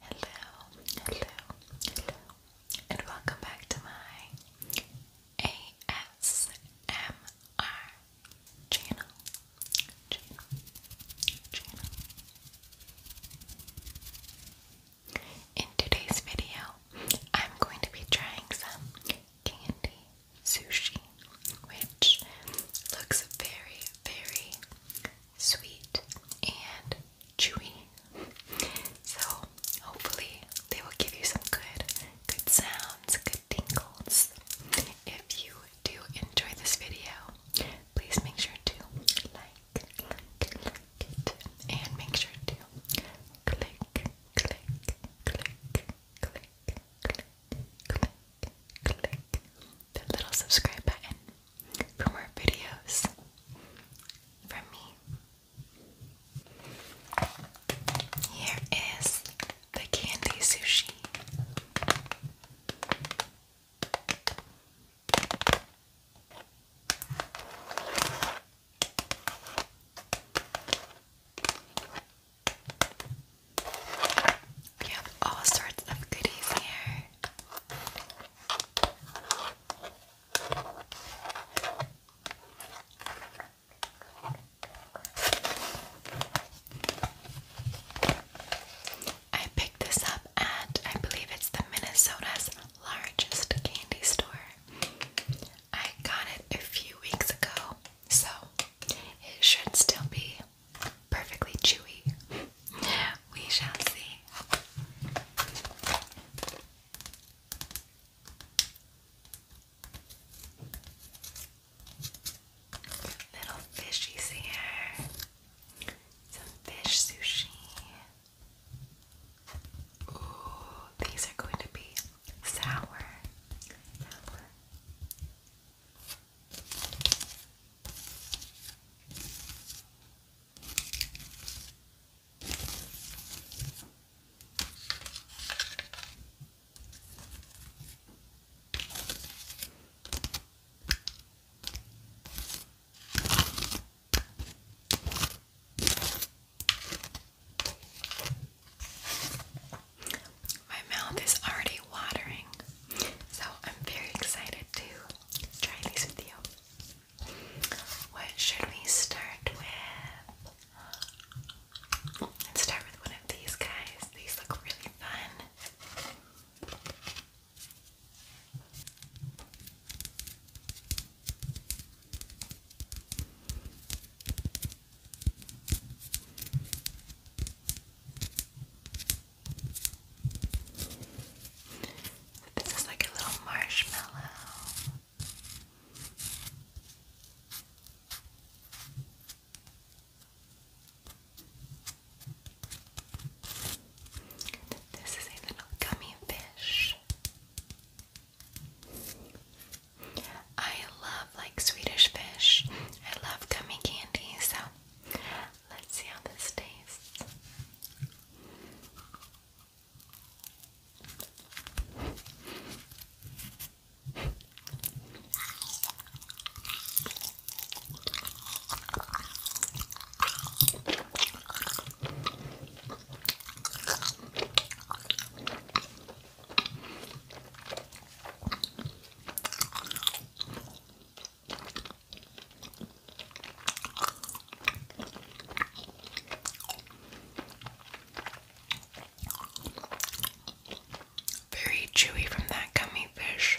Hello, hello, hello, and welcome back to my ASMR channel. In today's video, I'm going to be trying some candy sushi, which looks very, very sweet and chewy. So hopefully they will give you some good, good sounds, good tingles. If you do enjoy this video, please make sure to like, like, like it, and make sure to click click, click, click, click, click, click that little subscribe button for more videos from me. Here is the candy sushi. We have all sorts of goodies here. I picked this up at, I believe it's the Minnesota's largest candy store. I got it a few weeks ago, so it should still be perfectly chewy. We shall see. Little fishies here. Some fish sushi. Ooh, these are going to be Sour. My mouth is already watering, so I'm very excited to try these with you. What should we start with? Let's start with one of these guys. These look really fun. This is like a little marshmallow. This is a little gummy fish. I love like Swedish fish. I love gummy candy, so let's see how this tastes. Very chewy from that gummy fish.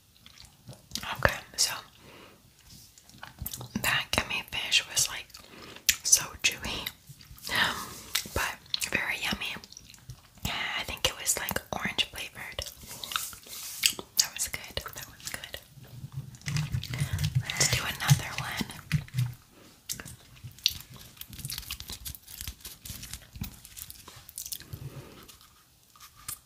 Okay, so that gummy fish was like so chewy, um, but very yummy. I think it was like orange flavored. That was good. That was good. Let's do another one.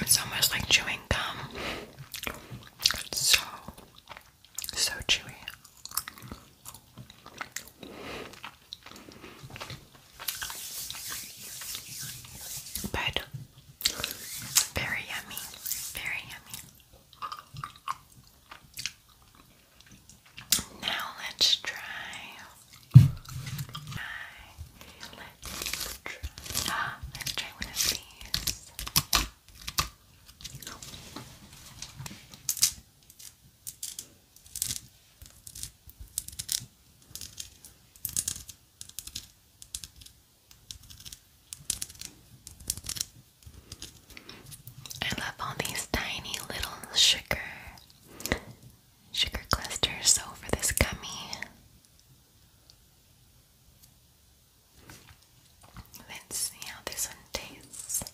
It's almost like chewing gum. It's so, so chewy. But very yummy, very yummy. Now let's try. I, let's try. Ah, let's try one of these. I love all these tiny little sugar sugar clusters over this gummy. Let's see how this one tastes.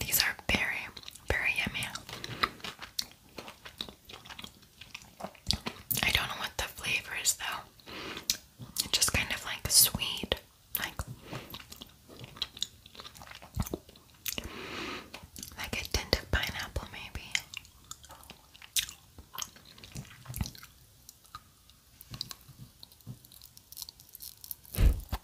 These are very very yummy. I don't know what the flavor is though. It's just kind of like sweet. Like like a tint of pineapple maybe. The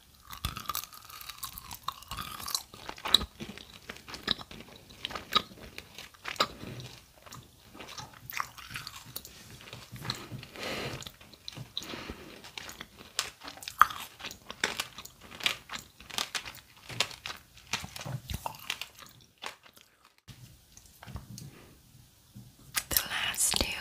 last two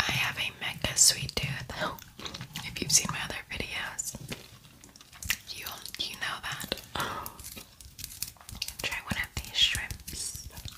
I have a mega sweet tooth. If you've seen my other videos, you you know that. Try one of these shrimps.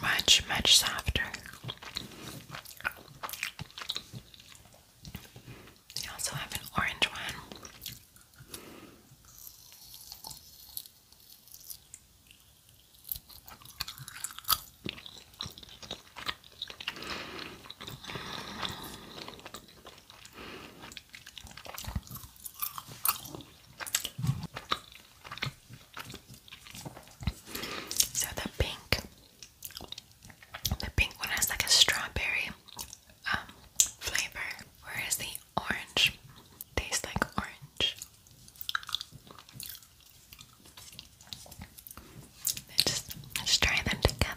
much, much softer. They also have an orange one. So the pink, the pink one has like a strawberry um, flavor, whereas the orange tastes like orange. let try them together.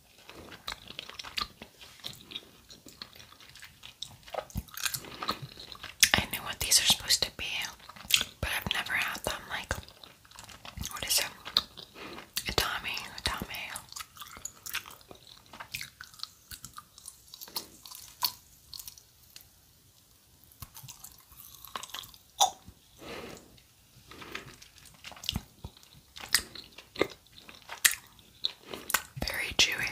I know what these are supposed to be, but I've never had them. Like, what is it? Itami, Itami. Very chewy.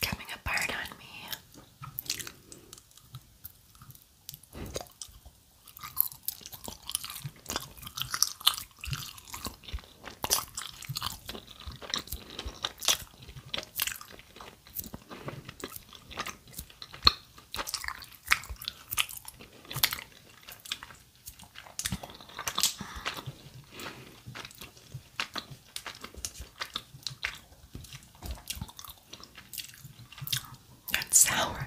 coming apart on me. That's sour.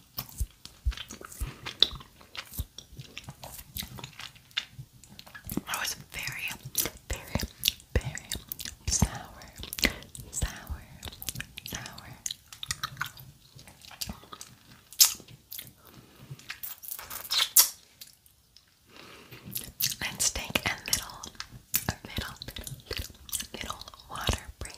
I was very, very, very sour, sour, sour. let take a little, a little, little, little water break.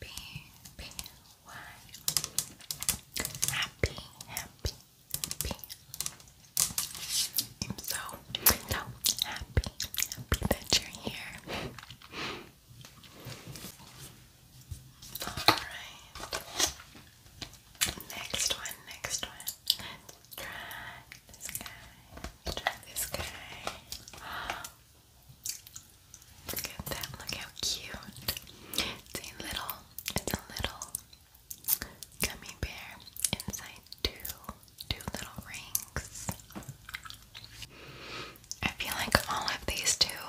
P P Y Happy Happy Happy I'm so so happy happy that you're here. Alright. Next one, next one. Let's try this guy. try this guy. Look at that, look how cute. It's a little, it's a little gummy bear inside two, two little rings. I feel like all of these two,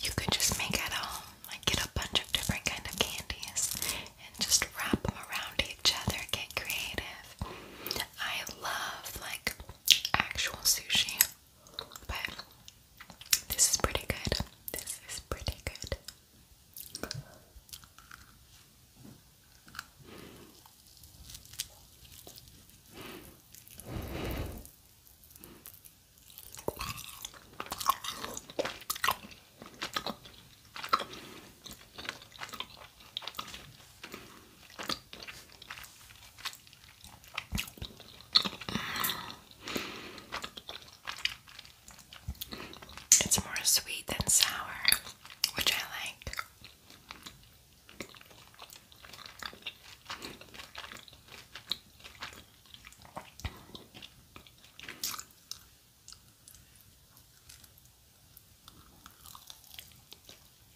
you could just make at home. Like get a bunch of different kind of candies and just wrap them around each other, get creative. I love like actual sushi. But this is pretty good. This is pretty good. It's more sweet than sour, which I like.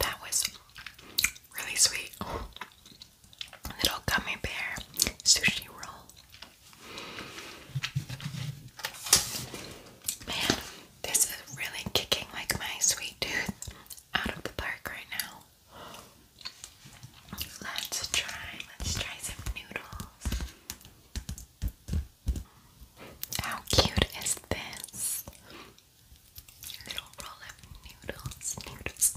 That was really sweet. little gummy sushi roll. Man, this is really kicking like my sweet tooth out of the park right now. Let's try, let's try some noodles. How cute is this? little roll of noodles, noodles,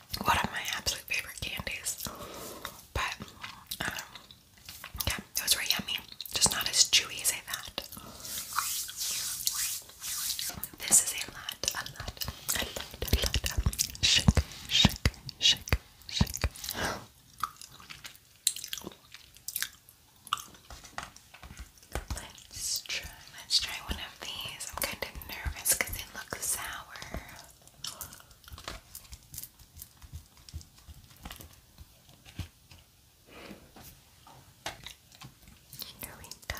one of my absolute favorite candies. But um, yeah, it was yummy. Just not as chewy as I This is a lot, a lot, a lot. Shake, shake, shake, shake. Let's try Let's try one of these. I'm kind of nervous because it looks sour. Here we go.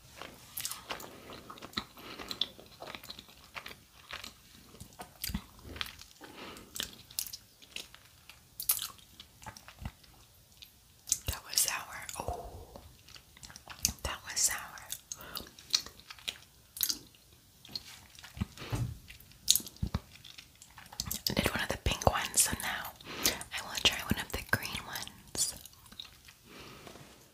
That was sour. Oh, that was sour. did one of the pink ones, so now I will try one of the green ones.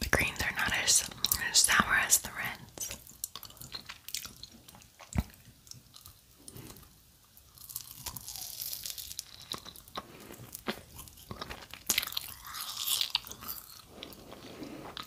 The greens are not as sour as the reds.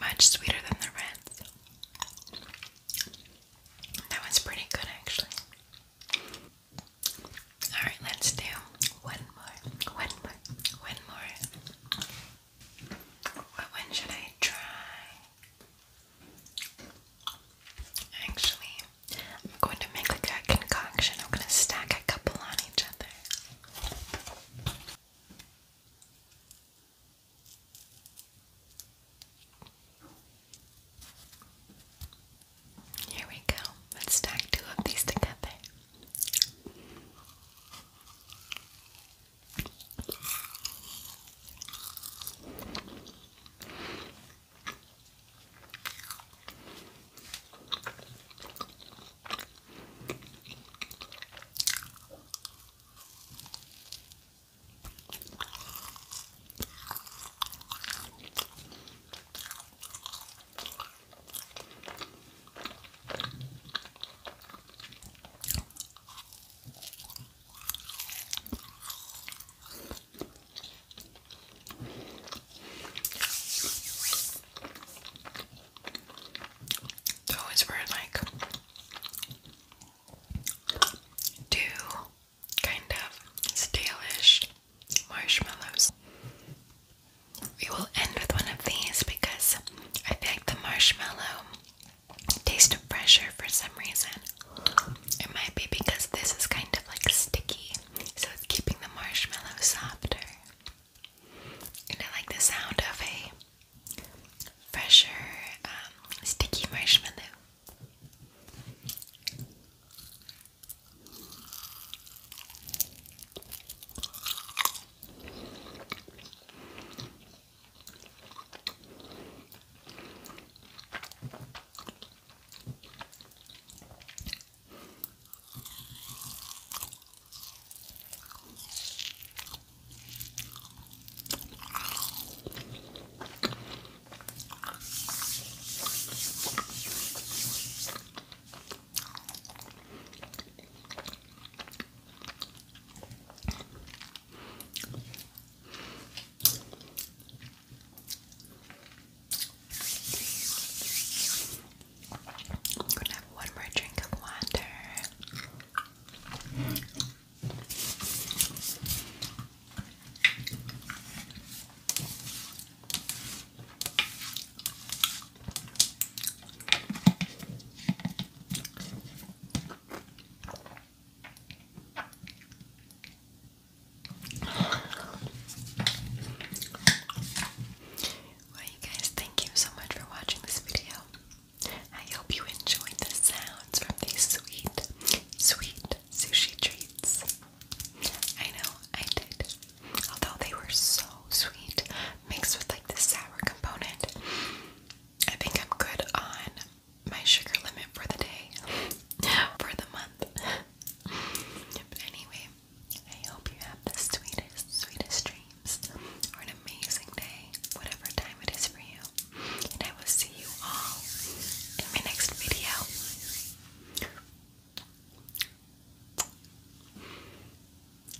Much sweeter than the reds. That one's pretty good actually. Alright, let's do one more. One more. One more. What one should I try? Actually, I'm going to make like a concoction. I'm going to stack a couple on each other. Here we go. Let's stack two of these together. It's weird, like do kind of stalish marshmallows. We will end with one of these because I feel like the marshmallow taste of pressure for some reason. It might be because this is kind of like sticky, so it's keeping the marshmallow softer. And I like the sound of a fresher um, sticky marshmallow. I'm gonna have one more drink of water. Well, you guys, thank you so much for watching this video. I hope you enjoyed the sounds from these sweet, sweet sushi treats. I know I did. Although they were so sweet, mixed with like the sour component. I think I'm good on my sugar limit for the day, for the month. But anyway, I hope you have the sweetest, sweetest dreams or an amazing day, whatever time it is for you and I will see you all in my next video.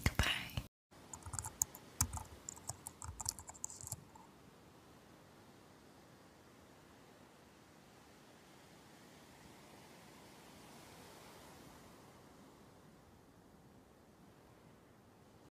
Goodbye.